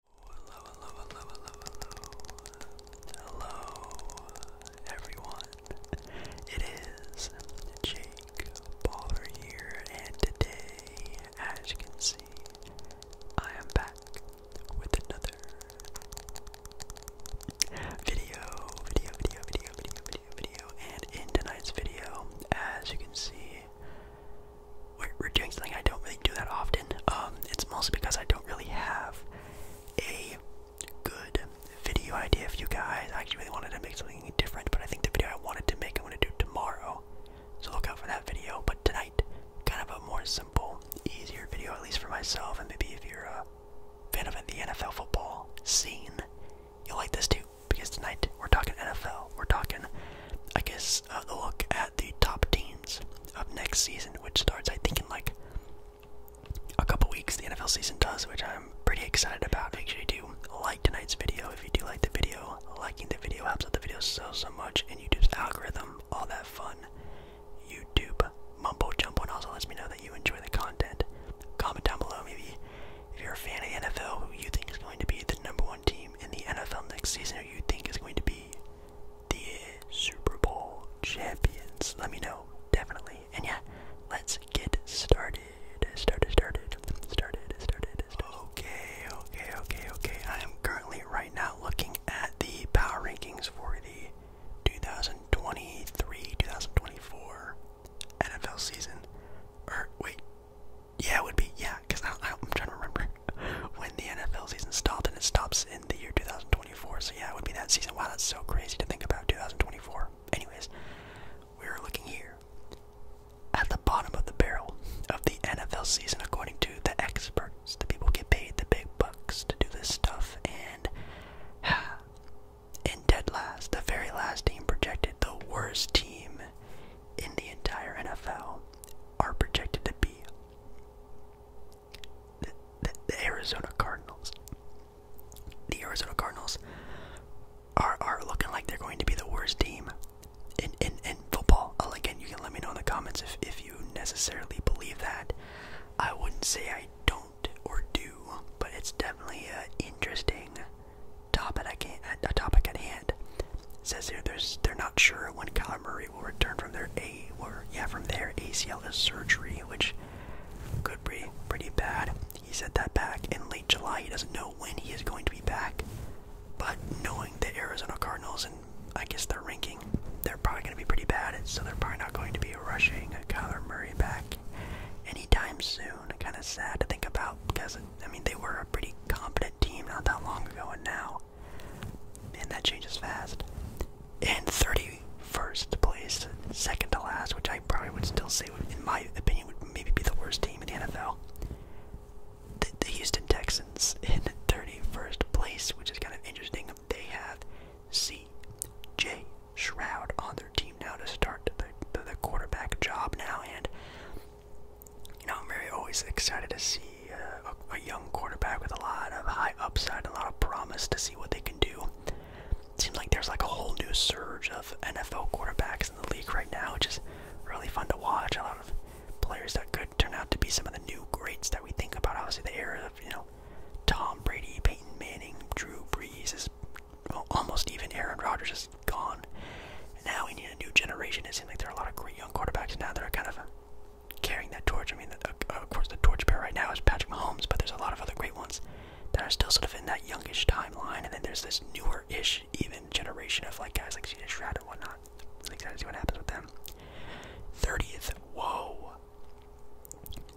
Hello, hello, hello, hello, hello. Hello, everyone. It is Jake Baller here, and today, as you can see, I am back with another video, video, video, video, video, video, video. And in tonight's video, as you can see, we're, doing something I don't really do that often. Um, it's mostly because I don't really have a good video idea for you guys. I actually really wanted to make something different, but I think the video I wanted to make I'm going to do tomorrow. So look out for that video. But tonight, kind of a more simple, easier video, at least for myself, and maybe if you're a fan of the NFL football scene, you'll like this too. Because tonight we're talking NFL. We're talking, I guess, uh, the look the top teams of next season, which starts, I think, in like a couple weeks. The NFL season does, which I'm pretty excited about. Make sure you do like tonight's video if you do like the video. Liking the video helps out the video so, so much, and YouTube's algorithm, all that fun. YouTube mumble, jumbo, and also lets me know that you enjoy the content. Comment down below, maybe if you're a fan of the NFL, who you think is going to be the number one team in the NFL next season, who you think is going to be the Super Bowl champions? Let me know, definitely. And yeah, let's get started. Started, started, started, started, Okay, okay, okay, okay. I am currently right now looking at the power rankings for the 2023 2024 NFL season. Or, wait, yeah, would be, yeah, because I, am trying to remember when the NFL season stopped, and it stops in the year 2024. So yeah, it would be that season. Wow, that's so crazy to think about 2024. Anyways, we are looking here at the bottom of the barrel of the NFL season, according to the experts, the people get paid the big bucks to do this stuff, and in dead last, the very last team projected the worst team in the entire NFL are projected to be the, Arizona Cardinals. The Arizona Cardinals are are looking like they're going to be the worst team in in, in football. again, you can let me know in the comments if if you necessarily believe that. I wouldn't say I don't or do, but it's definitely an interesting topic. I can't a topic at hand. And says here there's they're not sure when Kyler Murray will return from their A or yeah from their ACL surgery, which could be pretty bad. He said that back in late July. He doesn't know when he is going to be back. But knowing the Arizona Cardinals and I guess their ranking, they're probably going to be pretty bad, so they're probably not going to be rushing Kyler Murray back anytime soon. Kind of sad to think about because, I mean, they were a pretty competent team not that long ago, and now and that changes fast. And 31st place, second to last, which I probably would still say, in my opinion, would maybe be the worst team in the NFL. The, the Houston Texans in 31st place, which is kind of interesting. They have C.J. Shroud on their team now to start the, the quarterback job now, and you know, I'm very always excited to see uh, a, a young quarterback with a lot of high upside and a lot of promise to see what they can do. It seems like there's like a whole new surge of NFL quarterbacks in the league right now, which is really fun to watch. A lot of players that could turn out to be some of the new greats that we think about. Obviously, the era of you know Tom Brady, Peyton Manning, Drew Brees is well, almost even Aaron Rodgers is gone. And now we need a new generation. It seems like there are a lot of great young quarterbacks now that are kind of carrying that torch. I mean, of course, the torch pair right now is Patrick Mahomes, but there's a lot of other great ones that are still sort of in that youngish timeline. And then there's this newer-ish even generation of like guys like CJ Stroud and whatnot. excited to see what happens with them. 30th, whoa.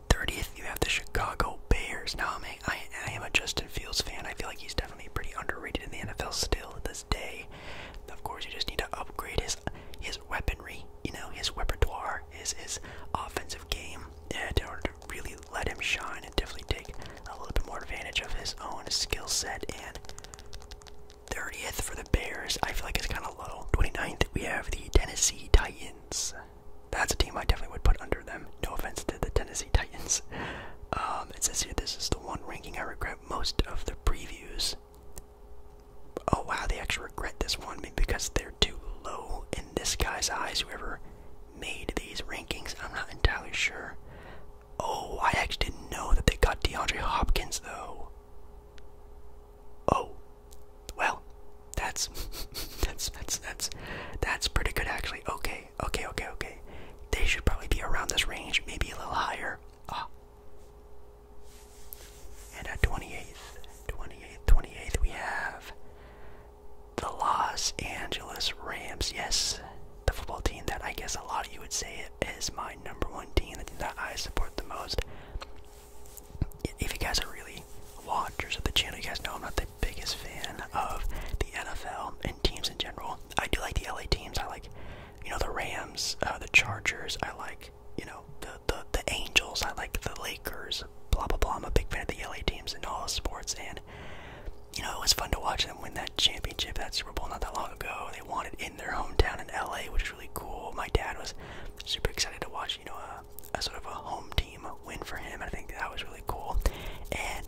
30th, you have the Chicago Bears. Now, I, mean, I, am a Justin Fields fan. I feel like he's definitely pretty underrated in the NFL still. The of course, you just need to upgrade his his weaponry, you know, his repertoire, his his offensive game, yeah, in order to really let him shine and definitely take a little bit more advantage of his own skill set. And 30th for the Bears, I feel like it's kind of low. 29th, we have the Tennessee Titans. That's a team I definitely would put under them. No offense to the Tennessee Titans. Um, it says here this is the one ranking I regret most of the previews. Oh wow, they actually regret this one because they're too low in this guy's eyes, whoever made these rankings. I'm not entirely sure. Oh, I actually didn't know that they got DeAndre Hopkins though. Oh. Well, that's that's that's that's that's pretty good actually. Okay, okay, okay, okay. They should probably be around this range, maybe a little higher. Ah. And at 28th, 28th, 28th, we have the Los Angeles Rams. Yes, the football team that I guess a lot of you would say is my number one team, team that I support the most. If you guys are really watchers of the channel, you guys know I'm not the biggest fan of the NFL and teams in general. I do like the LA teams. I like you know the Rams, uh, the Chargers. I like you know the, the the Angels. I like the Lakers. Blah blah blah. I'm a big fan of the LA teams in all sports, and you know it was fun to watch them win that championship, that Super Bowl, not that long ago. They won it in their hometown in LA, which is really cool. My dad was super excited to watch. You know a, a sort of a home team win for him. I think that was really cool, and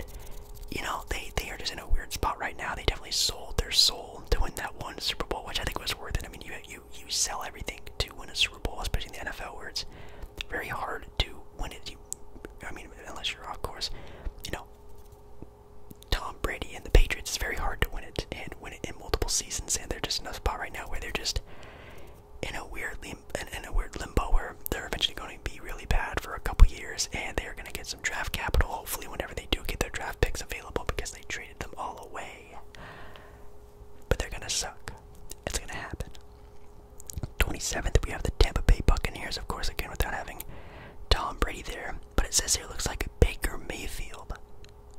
you know they they are just in a weird spot right now. They definitely sold their soul soul to win that one Super Bowl, which I think was worth it. I mean, you you you sell everything to win a Super Bowl, especially in the NFL, where it's very hard to win it. You, I mean, unless you're of course, you know, Tom Brady and the Patriots. It's very hard to win it and win it in multiple seasons, and they're just in a spot right now where they're just in a weird lim in a weird limbo where they're eventually going to be really bad for a couple years, and they're going to get some draft capital, hopefully, when they do get their draft picks available because they traded them all away. But they're gonna suck. It's gonna happen. 27th, we have the Tampa Bay Buccaneers, of course, again without having Tom Brady there. But it says here looks like Baker Mayfield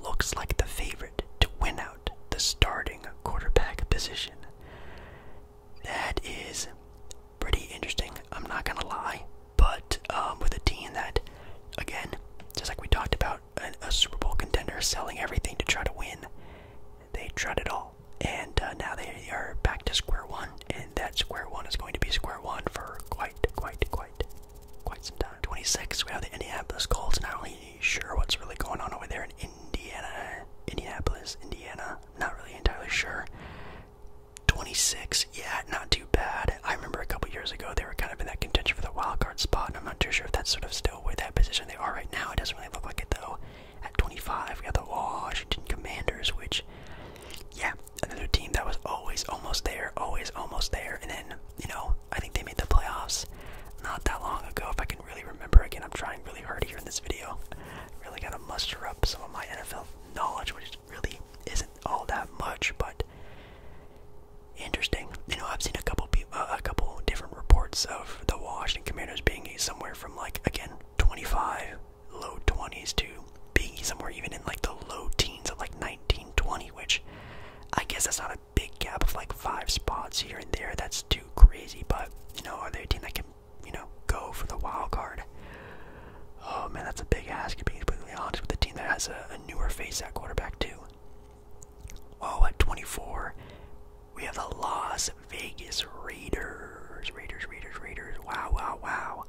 looks like the favorite to win out the starting quarterback position. That is pretty interesting. I'm not gonna lie, but um, with a team that, again, just like we talked about, a, Super Bowl contender selling everything to try to win, they tried it all, and uh, now they are back to square one, and that square one is going to be square one for quite, quite, quite, quite some time. 26, we have the Indianapolis Colts. Not really sure what's really going on over there in Indiana, Indianapolis, Indiana. Not really entirely sure. 26, yeah, not too bad. I remember a couple years ago they were kind of in that contention for the wild card spot, and I'm not too sure if that's sort of still where that position they are right now. It doesn't really look like it though. At 25, we got the Washington Commanders, which, yeah, another team that was always almost there, always almost there, and then you know I think they made the playoffs not that long ago. If I can really remember again, I'm trying really hard here in this video. Really gotta muster up some of my NFL knowledge, which really isn't all that much, but interesting. You know, I've seen a couple uh, a couple different reports of the Washington Commanders being somewhere from like again 25, low 20s to being somewhere even in like the low teens of like 1920, which I guess that's not a big gap of like five spots here and there. That's too crazy, but you know, are there a team that can you know go for the wild card? Oh man, that's a big ask. To be completely honest with a team that has a, a newer face at quarterback too. Oh, at 24, we have the Las Vegas Raiders. Raiders, Raiders, Raiders. Wow, wow, wow.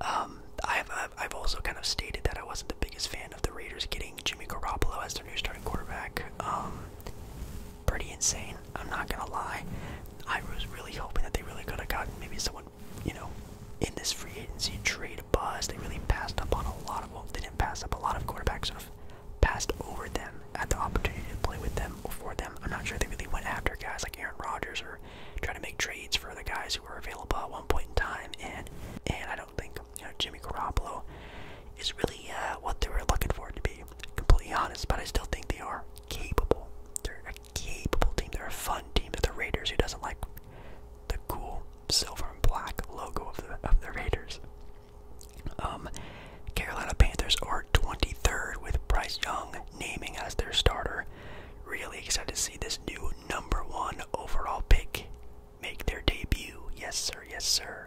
Um, I've I've also kind of stated that I wasn't the biggest fan of the Raiders getting Jimmy Garoppolo as their new starting quarterback. Um, pretty insane. I'm not gonna lie. I was really hoping that they really could have gotten maybe someone someone, you know, in this free agency trade buzz. They really passed up on a lot of, well, they didn't pass up a lot of quarterbacks, sort of passed over them at the opportunity to play with them or for them. I'm not sure they really went after guys like Aaron Rodgers or trying to make trades for the guys who were available at one point in time. And and I don't think you know Jimmy Garoppolo is really uh, what they were looking for to be completely honest. But I still think they are capable. They're a capable team. They're a fun team. They're the Raiders. Who doesn't like the cool silver and black logo of the of the Raiders? Um, Carolina Panthers are 23rd with Bryce Young naming as their starter. Really excited to see this new number one overall pick make their debut. Yes, sir. Yes, sir.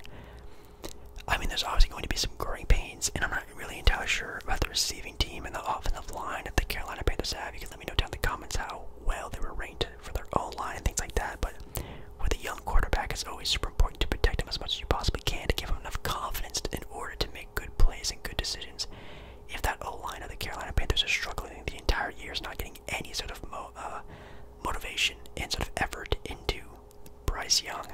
I mean, there's obviously going to be some growing pains, and I'm not really entirely sure about the receiving team and the offensive line that the Carolina Panthers have. Let me know down in the comments how well they were ranked for their own line and things like that. But with a young quarterback, it's always super important to protect him as much as you possibly can to give him enough confidence in order to make good plays and good decisions. If that O line of the Carolina Panthers is struggling the entire year, is not getting any sort of mo uh, motivation and sort of effort into Bryce Young,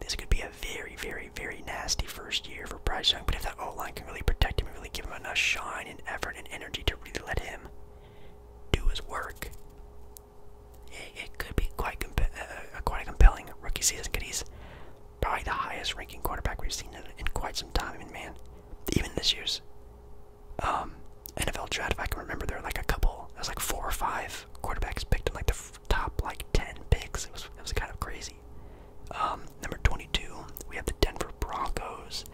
this could be a very, very, very nasty first year for Bryce Young. But if that that O line can really protect him and really give him enough shine and effort and energy to really let him do his work. It, could be quite uh, uh, uh, quite a compelling rookie season because he's probably the highest ranking quarterback we've seen in, quite some time. I man, even this year's um, NFL draft, if I can remember, there were like a couple. It was like four or five quarterbacks picked in like the top like ten picks. It was it was kind of crazy. Um, number 22, we have the Denver Broncos.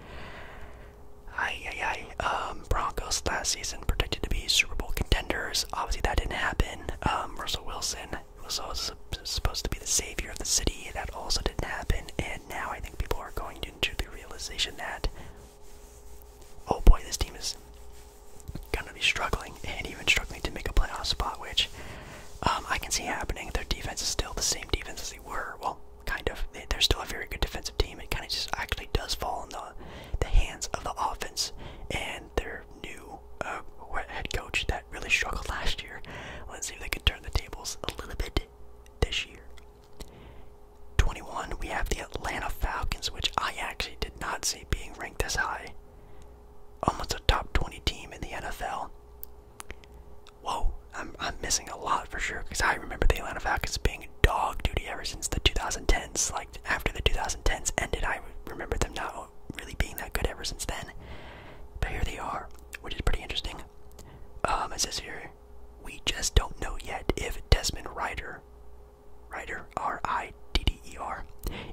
Aye, aye, aye. Um, Broncos last season predicted to be Super Bowl contenders. Obviously, that didn't happen. Um, Russell Wilson was also supposed to be the savior of the city. That also didn't happen. And now I think people are going into the realization that, oh boy, this team is going to be struggling and even struggling to make a playoff spot, which um, I can see happening. Their defense is still the same defense as they were. Well, kind of. They're still a very good defensive team. It kind of just actually does fall in the the hands of the offense and their new uh, head coach that really struggled last year. Let's see if they can turn the tables a little bit this year. 21, we have the Atlanta Falcons, which I actually did not see being ranked as high. Almost a top 20 team in the NFL. Whoa, I'm I'm missing a lot for sure because I remember the Atlanta Falcons being dog duty ever since the 2010s. Like after the 2010s ended, I remember them not really being that good ever since then. But here they are, which is pretty interesting. Um, it says here, we just don't know yet if Desmond Ryder, Ryder R I D D E R,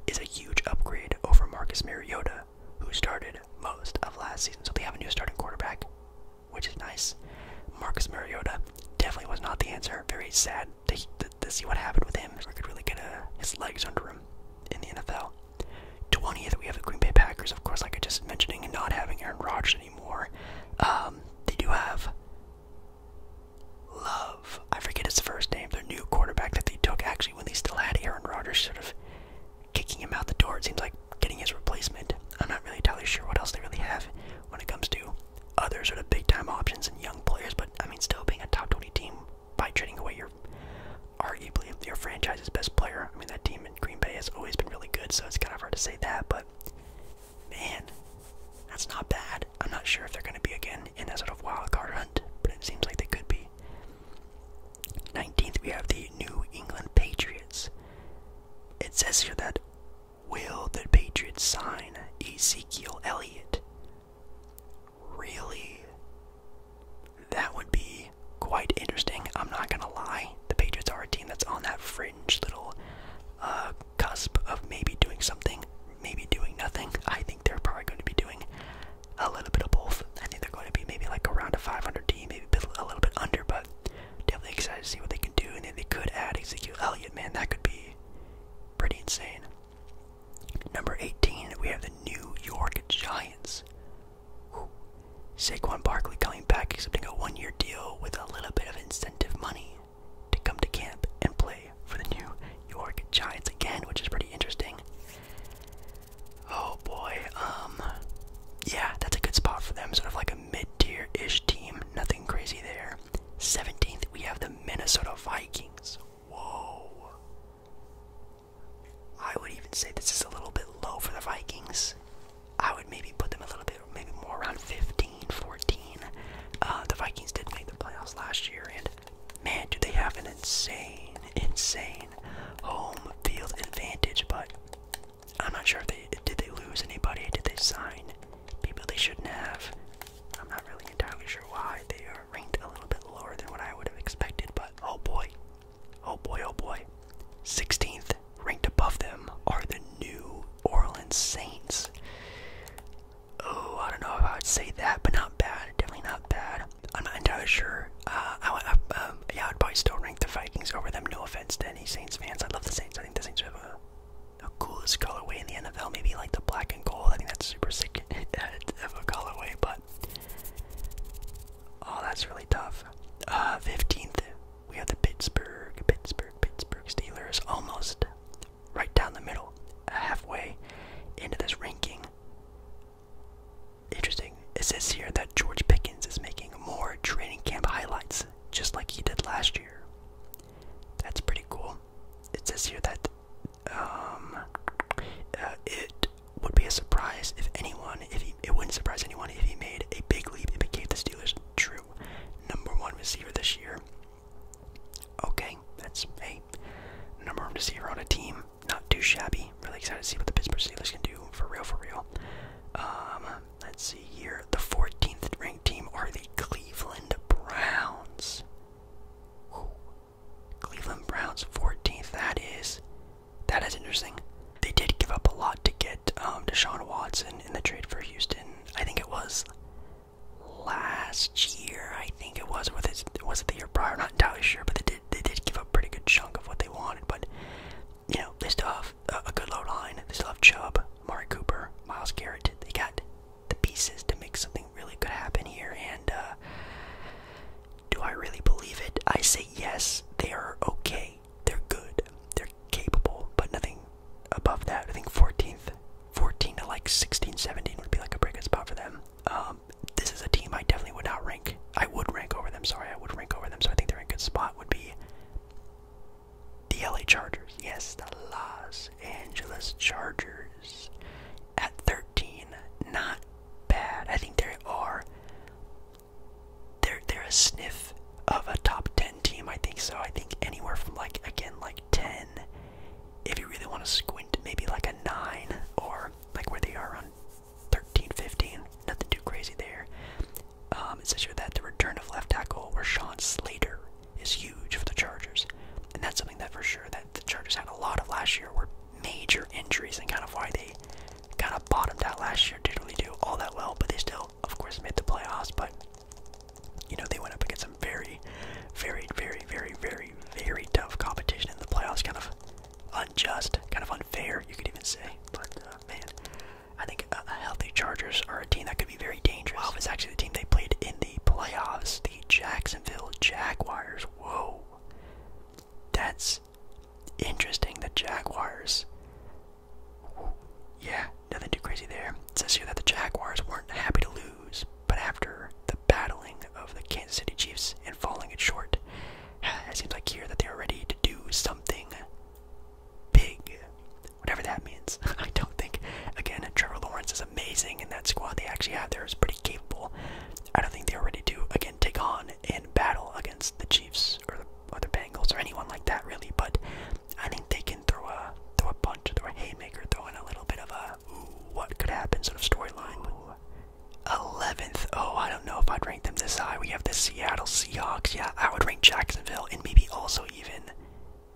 is a huge upgrade over Marcus Mariota, who started most of last season. So they have a new starting quarterback, which is nice. Marcus Mariota definitely was not the answer. Very sad to, see what happened with him. We could really get uh, his legs under him in the NFL. 20th, we have the Green Bay Packers, of course, like I just mentioned, and not having Aaron Rodgers anymore. Um, they do have Love. I forget his first name. Their new quarterback that they took actually when they still had Aaron Rodgers, sort of kicking him out the door. It seems like getting his replacement. I'm not really entirely sure what else they really have when it comes to other sort of big time options and young players. But I mean, still being a top 20 team by trading away your arguably your franchise's best player. I mean, that team in Green Bay has always been really good, so it's kind of hard to say that. But man, that's not bad. I'm not sure if they're going to be again in that sort of wild card hunt, but it seems like they could be. 19th, we have the New England Patriots. It says here that will the Patriots sign Ezekiel Elliott? Really? That would be quite interesting. I'm not going to lie. The Patriots are a team that's on that fringe little uh, cusp of maybe doing something, maybe doing nothing. I think they're probably going to be doing a little bit of both. I think they're going to be maybe like around a 500 team, maybe a little bit under, but definitely excited to see what they can do. And then they could add Ezekiel Elliott, man, that could be pretty insane. Number 18, we have the New York Giants. Whew. Saquon Barkley coming back, accepting a one year deal with a little bit of incentive money to come to camp and play for the New York Giants again, which is pretty interesting. Oh boy, um, yeah, that's a good spot for them. Sort of like a mid-tier-ish team. Nothing crazy there. 17th, we have the Minnesota Vikings. Whoa. I would even say this is a little bit low for the Vikings. I would maybe put them a little bit, maybe more around 15, 14. Uh, the Vikings did make the playoffs last year, and man, do they have an insane, insane home field advantage? But I'm not sure if they did they lose anybody. Did they sign people they shouldn't have? I'm not really entirely sure why they are ranked a little bit lower than what I would have expected. But oh boy, oh boy, oh boy, 16th ranked above them are the New Orleans Saints. Oh, I don't know if I would say that, but not bad. Definitely not bad. I'm not entirely sure. Uh, I would, um, yeah, I'd probably still rank the Vikings over them. No offense to any Saints fans. I love the Saints. I think the Saints have a coolest colorway in the NFL. Maybe like the black and gold. I think that's super sick of a colorway. But oh, that's really tough. 15th, uh, we have the Pittsburgh, Pittsburgh, Pittsburgh Steelers. Almost right down the middle, halfway into this ranking. Interesting. It says here that George Pickens is making more training camp highlights, just like he did last year. That's pretty cool. It says here that um, uh, it would be a surprise if anyone, if he, it wouldn't surprise anyone if he made a big leap and became the Steelers' true number one receiver this year. Okay, that's a number one receiver on a team not too shabby. Really excited to see what the Pittsburgh Steelers can do for real, for real. Um, let's see here. The 14th ranked team are the Cleveland Browns. Cleveland Browns 14th. That is, that is interesting. They did give up a lot to get um, Deshaun Watson in the trade for Houston. I think it was last year. I think it was with his was it the year prior? I'm not entirely sure, but they they did give up a pretty good chunk of what they wanted, but you know they still have a, good low line. They still have Chubb, Mari Cooper, Miles Garrett. They got the pieces to make something really good happen here. And uh, do I really believe it? I say yes. They are okay. They're good. They're capable, but nothing above that. I think 14th, 14 to like 16, 17 would be like a breakout spot for them. Um, um, this is a team I definitely would not rank. I would rank over them. Sorry, I would rank over them. So I think they're in a good spot. Would be the LA Chargers. Yes, the Los Angeles Chargers at 13. Not bad. I think they are. They're they're a sniff of a top 10 team. I think so. I think anywhere from like again like 10. If you really want to squint, maybe like a nine or like where they are on 13, 15. Nothing too crazy there. Um, it says here that the return of left tackle Rashawn Slater is huge for the Chargers, and that's something that for sure that the Chargers had a lot of last year were major injuries and kind of why they kind of bottomed out last year. Didn't really do all that well, but they still, of course, made the playoffs. But you know they went up against some very, very, very, very, very, very tough competition in the playoffs. Kind of unjust, kind of unfair, you could even say. But uh, man, I think uh, healthy Chargers are a team that could be very dangerous. Wow, it's actually the team they played in the playoffs, the Jacksonville Jaguars. Whoa, that's interesting. The Jaguars. Yeah, nothing too crazy there. It says here that the Jaguars weren't happy to lose, but after the battling of the Kansas City Chiefs and falling it short, it seems like here that they are ready to do something big, whatever that means. I don't think, again, Trevor Lawrence is amazing, and that squad they actually have there is pretty capable. I don't think they are ready to, again, take on and battle against the Chiefs or the or Bengals or anyone like that really, but I think they can throw a throw a punch, throw a haymaker, throw in a little bit of a what could happen sort of storyline. 11th. Oh, I don't know if I'd rank them this high. We have the Seattle Seahawks. Yeah, I would rank Jacksonville and maybe also even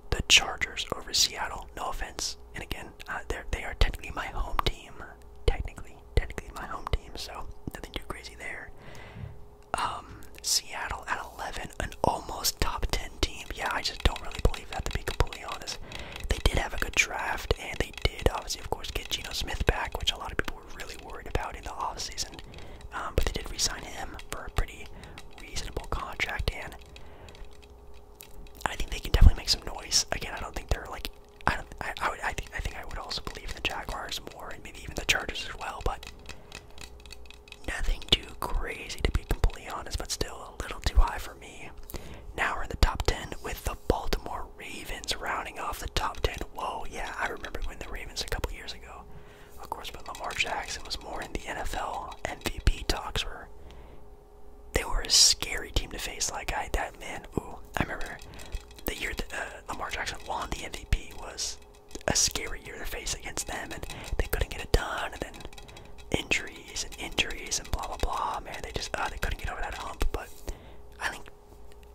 the Chargers over Seattle. No offense. And again, uh, they're, they are technically my home team. Technically, technically my home team, so nothing too crazy there. Um, Seattle at 11, an almost top 10 team. Yeah, I just don't really believe that, to be completely honest. They did have a good draft, and they did, obviously, of course, get Geno Smith back, which a lot of people were really worried about in the offseason. Um, but they did resign him for a pretty reasonable contract, and I think they can definitely make some noise. Again, I don't think they're like I don't. I, I would. I think. I think I would also believe in the Jaguars more, and maybe even the Chargers as well. But nothing too crazy to be completely honest. But still a little too high for. Now we're in the top 10 with the Baltimore Ravens rounding off the top 10. Whoa, yeah, I remember when the Ravens a couple years ago. Of course, when Lamar Jackson was more in the NFL. MVP talks were. They were a scary team to face. Like, I, that man, ooh, I remember the year that uh, Lamar Jackson won the MVP was a scary year to face against them, and they couldn't get it done, and then injury and injuries and blah blah blah. Man, they just uh, they couldn't get over that hump. But I think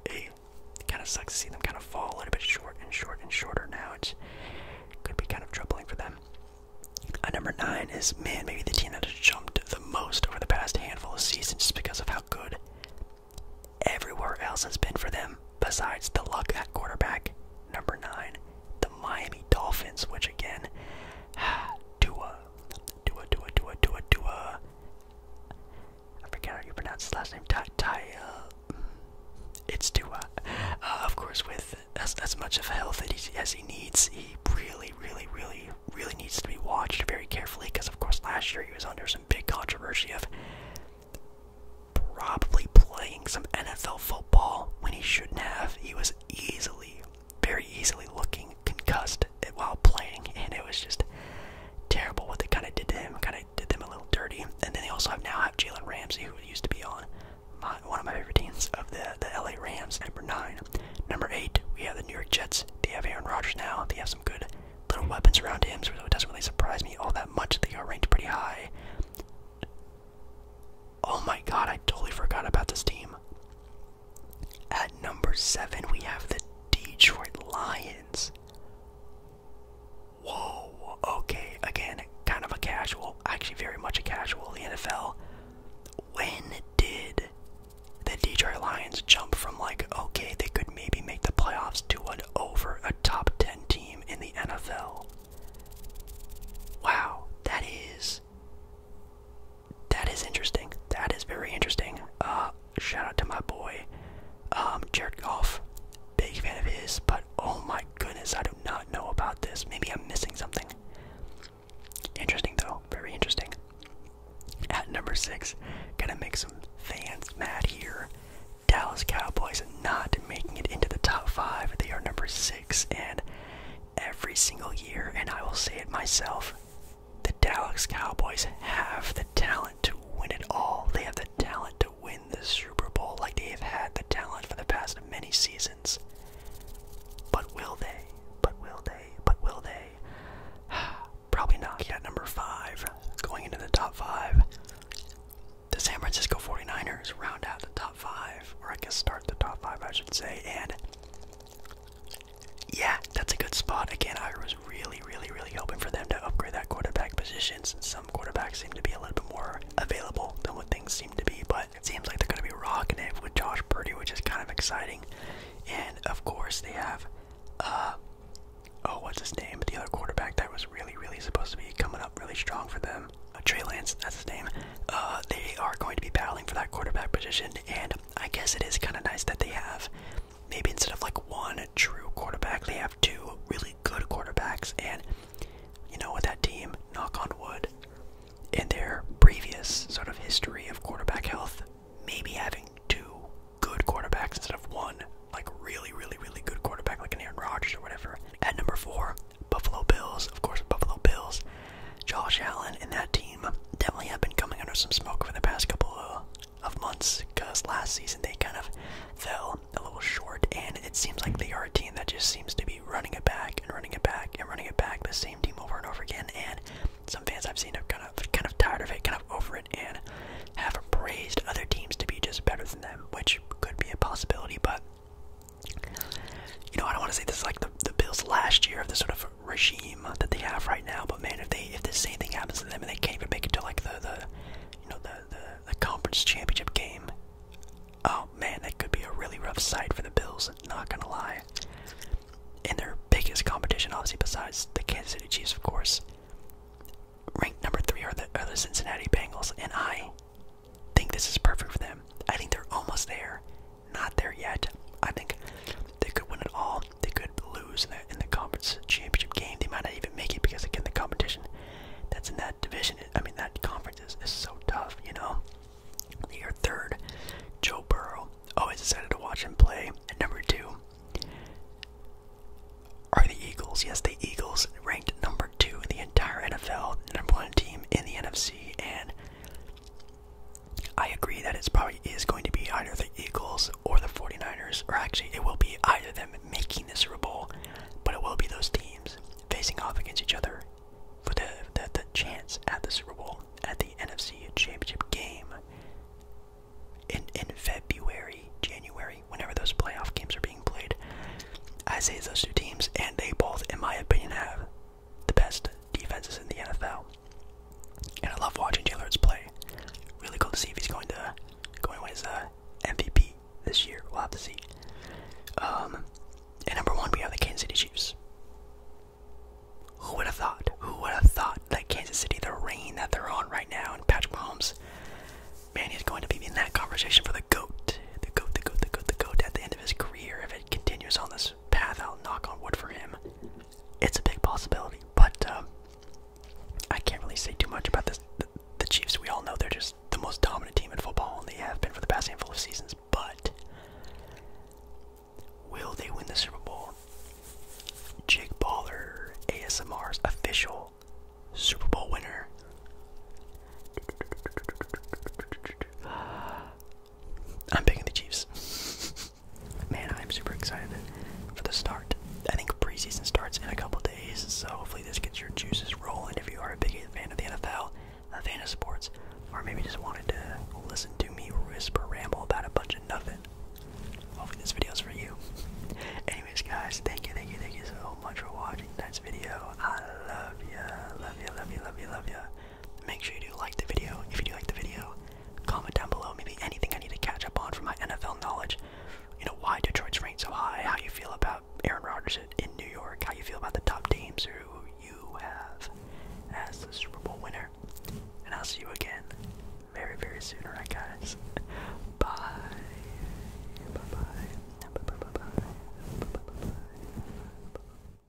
it kind of sucks to see them kind of fall a little bit short and short and shorter now. It could be kind of troubling for them. Uh, number nine is man, maybe the team that has jumped the most over the past handful of seasons just because of how good everywhere else has been for them besides the luck at quarterback. Number nine, the Miami Dolphins, which again, Tua Dua, Dua, Dua, Dua, Dua. I forget how you pronounce his last name. Ty, uh, it's Dua. Uh, of course, with as, as much of health as he needs, he really, really, really, really needs to be watched very carefully because, of course, last year he was under some big controversy of probably playing some NFL football when he shouldn't have. He was easily very easily looking concussed while playing, and it was just terrible what they kind of did to him. Kind of did them a little dirty. And then they also have now have Jalen Ramsey, who used to be on one of my favorite teams of the the LA Rams. Number nine, number eight, we have the New York Jets. They have Aaron Rodgers now. They have some good little weapons around him, so it doesn't really surprise me all that much. They are ranked pretty high. Oh my god, I totally forgot about this team. At number seven, we have the Detroit Lions. Whoa, okay, again, kind of a casual, actually, very much a casual NFL. When did the Detroit Lions jump from like, okay, they could maybe make the playoffs to an over a top 10 team in the NFL? Wow, that is that is interesting. That is very interesting. Uh, shout out to my boy, um, Jared Golf. Big fan of his, but oh my goodness, I do not know about this. Maybe I'm missing something. Interesting though, very interesting. At number six, gonna make some fans mad here. Dallas Cowboys not making it into the top five. They are number six, and every single year, and I will say it myself. The Dallas Cowboys have the talent to win it all. They have the talent to win the Super Bowl like they have had the talent for the past many seasons. But will they? But will they? But will they? Probably not. Yet number five, going into the top five, the San Francisco 49ers round out the top five, or I guess start the top five, I should say, and yeah, that's a good spot. Again, I was really, really, really hoping for them to upgrade that quarterback position some quarterbacks seem to be a little bit more available than what things seem to be. But it seems like they're going to be rocking it with Josh Purdy, which is kind of exciting. And of course, they have, uh, oh, what's his name? The other quarterback that was really, really supposed to be coming up really strong for them. Uh, Trey Lance, that's his name. Uh, they are going to be battling for that quarterback position. And I guess it is kind of nice that they have maybe instead of like one true quarterback, they have two really good quarterbacks. And you know, with that team, knock on wood, in their previous sort of history of quarterback health, maybe having two good quarterbacks instead of one, like really, really, really good quarterback, like an Aaron Rodgers or whatever. At number four, Buffalo Bills. Of course, Buffalo Bills Josh Allen and that team definitely have been coming under some smoke for the past couple of, months because last season they kind of fell a little short, and it seems like they are a team that just seems to be running it back and running it back and running it back, the same team over and over again. And some fans I've seen are kind of kind of tired of it, kind of over it, and have praised other teams to be just better than them, which could be a possibility, but. You know, I don't want to say this like the, the Bills last year of this sort of regime that they have right now. But man, if they if the same thing happens to them and they can't even make it to like the the you know the the, conference championship game, oh man, that could be a really rough sight for the Bills. Not gonna lie. In their biggest competition, obviously besides the Kansas City Chiefs, of course. Ranked number three are the, are the Cincinnati Bengals, and I think this is perfect for them. I think they're almost there not there yet. I think they could win it all. They could lose in the, in the conference championship game. They might not even make it because again, the competition that's in that division, I mean that conference is, is so tough. You know, they third. Joe Burrow. Always decided to watch him play. And number two are the Eagles. Yes, the Eagles ranked number two in the entire NFL, number one team in the NFC, and I agree that it's probably is going to be either the Eagles or the 49ers, or actually, it will be either them making the Super Bowl, but it will be those teams facing off against each other for the, the, the chance at the Super Bowl, at the NFC Championship game in, in February, January, whenever those playoff games are being played. I say those two teams, and they both, in my opinion, have the best defenses in the NFL. And I love watching Jailers play. Really cool to see if he's going to going to win his MVP this year. We'll have to see. Um, and number one, we have the Kansas City Chiefs. Who would have thought? Who would have thought that Kansas City, the reign that they're on right now, and Patrick Mahomes, man, he's going to be in that conversation for the GOAT. The GOAT, the GOAT, the GOAT, the GOAT at the end of his career if it continues on this his path out, knock on wood for him. It's a big possibility, but um, I can't really say too much about this. The, the Chiefs, we all know they're just the most dominant team in football, and they have been for the past handful of seasons. But will they win the Super Bowl? Jake Baller, ASMR's official Super Bowl winner. I'm picking the Chiefs. Man, I'm super excited for the start. I think preseason starts in a couple days, so hopefully this gets your juices rolling if you are a big fan of the NFL, a fan of sports, or maybe just wanted to listen to me whisper ramble about a bunch of nothing. Hopefully this video is for you. Anyways, guys, thank you, thank you, thank you so much for watching this video. I love you, love you, love you, love you, love you. Make sure you do like the video. If you do like the video, comment down below maybe anything I need to catch up on from my NFL knowledge. You know, why Detroit's ranked so high, how you feel about Aaron Rodgers in New York, how you feel about the top teams who you have as the Super Bowl winner. And I'll see you again very, very soon, right guys? Bye. Bye-bye. Bye-bye. Bye-bye. Bye-bye.